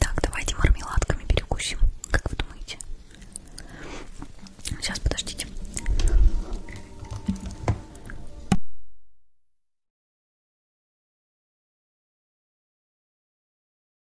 Так, давайте мармеладками перекусим, как вы думаете? Сейчас, подождите.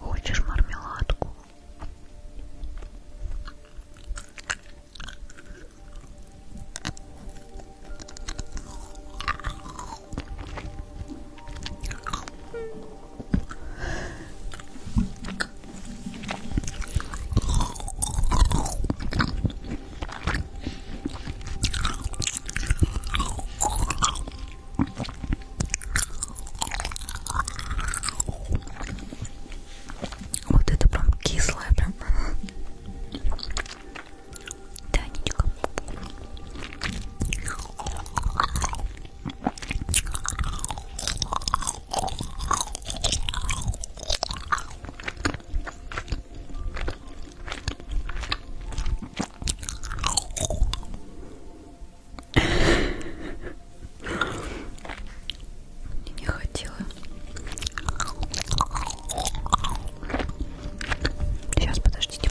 Хочешь мармеладку? Вот это прям кислое, прям. Танечка. Не хотела. Сейчас подождите.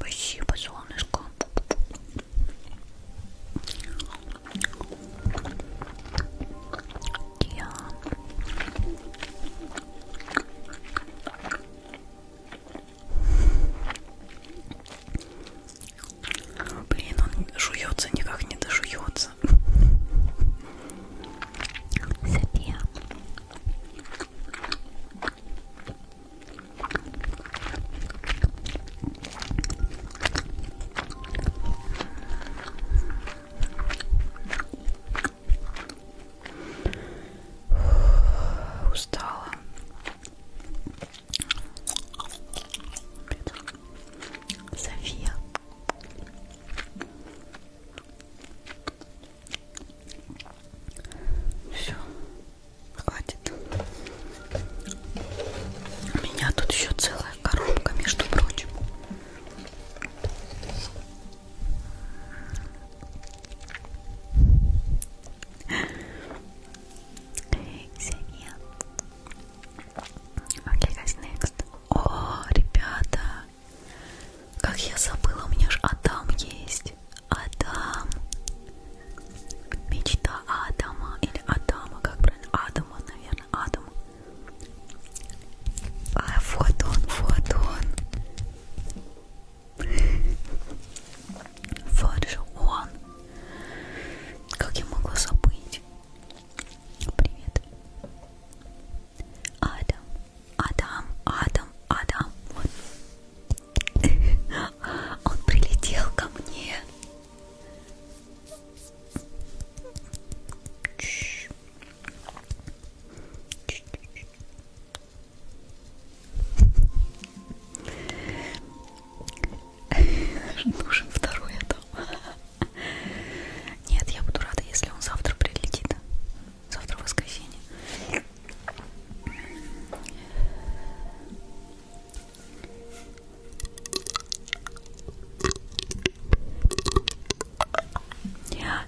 Спасибо, солнышко. Я Блин, он жуется, никак не дожуется. София. Устала. София. Все. Хватит. У меня тут еще целая коробка, между прочим. Ксения. Окей, guys, next. О, ребята, как я забыла, у меня же Адам есть. Адам. Мечта Адама или Адама, как правильно? Адама, наверное, Адам. А вот он, вот он. Вот же он. Как я могла забыть? Привет. Адам, Адам, Адам, Адам. Вот. Он прилетел ко мне. Нужен второй дом. А Нет, я буду рада, если он завтра прилетит. Завтра воскресенье.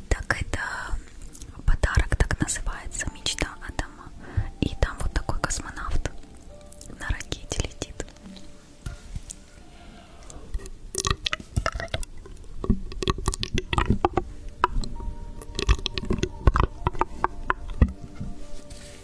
Так это подарок, так называется, мечта Адама. И там вот такой космонавт на ракете летит.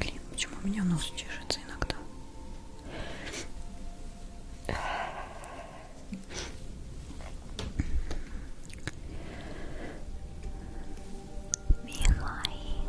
Блин, почему у меня нос чешется иногда? Михаил.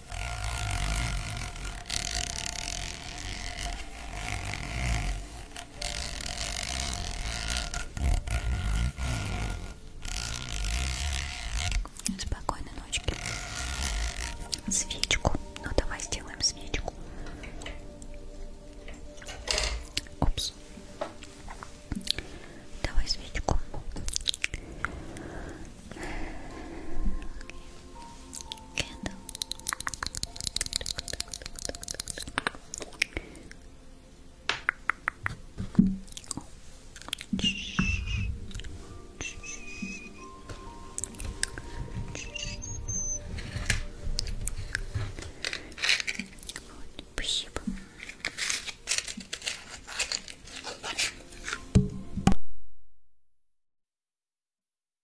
Спокойной ночки. Свечку. Ну давай сделаем свечку. Опс. Давай свечку. Candle. Вот, спасибо.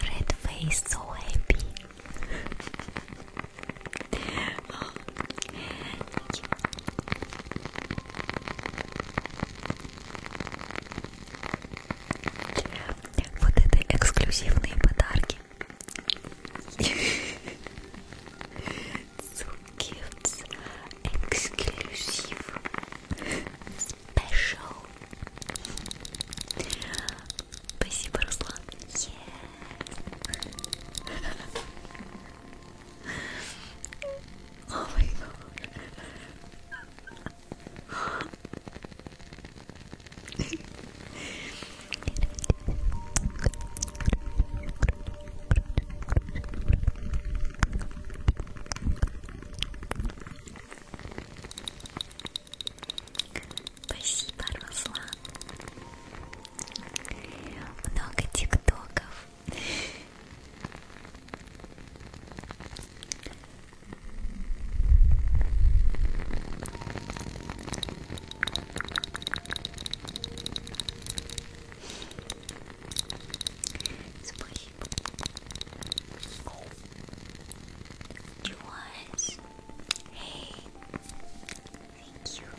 Red face so happy. Thank you. Вот это эксклюзивные подарки. So gifts, exclusive, special. Спасибо, Руслан. Yeah. Oh my god. Спасибо, Руслан. Много тиктоков. Sleep. Oh. You was. Hey. Thank you.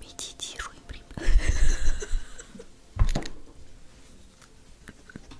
Медитируем, ребят.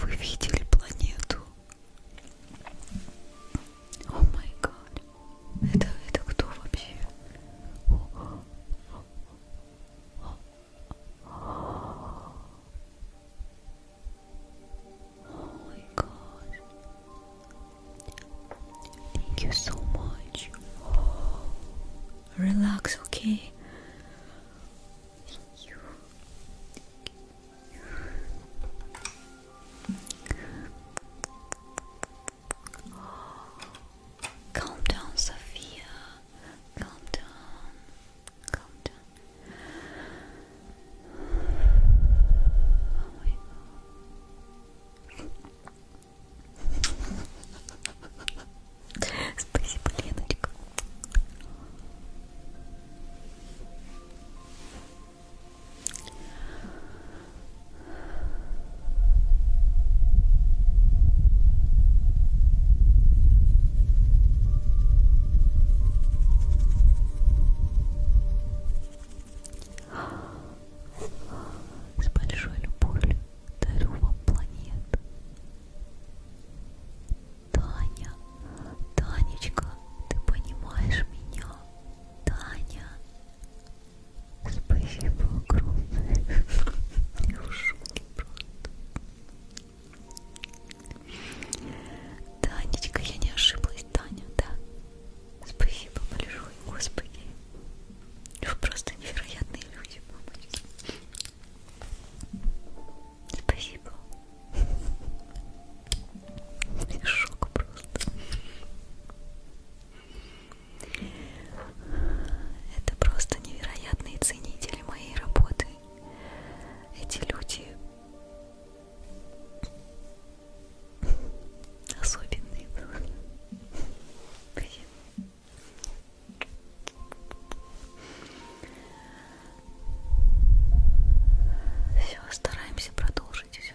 Вы видели планету? О май гад. Это это кто вообще? О май гад. Thank you so much. Oh, relax, okay? calm down, Sophia. Calm down. Calm down. Oh Спасибо, Леночка. С большой любовью дарю вам планету. Таня, Танечка, ты понимаешь меня? Таня, спасибо огромное. Я в шоке просто. Танечка, я не ошиблась, Таня, да? Спасибо большое, господи. Вы просто невероятные люди, мамочки. Спасибо. Я шок просто. Это просто невероятные ценители моей работы. Эти люди Особенный был. Все, стараемся продолжить все.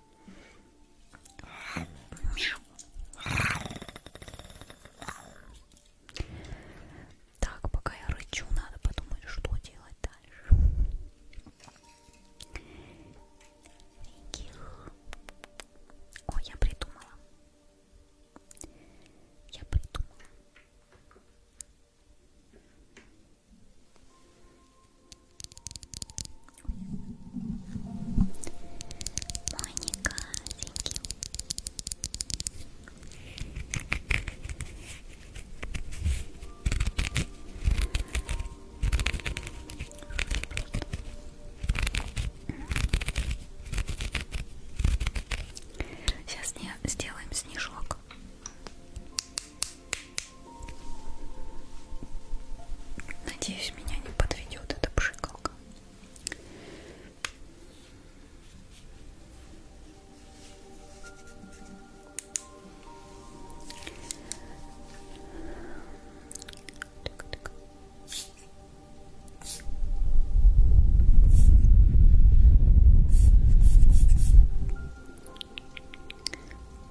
Так, пока я рычу, надо подумать, что делать дальше. Никих. О, я придумала. Я придумала. Моника, Сейчас не сделаем снежок. Надеюсь, меня не подведет это это пшикалка. Так, так.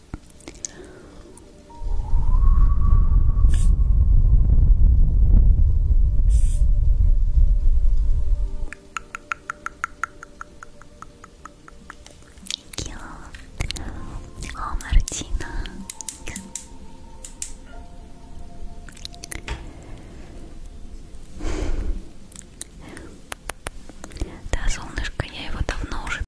Cute. Oh, Martina. Да, солнышко, я его давно уже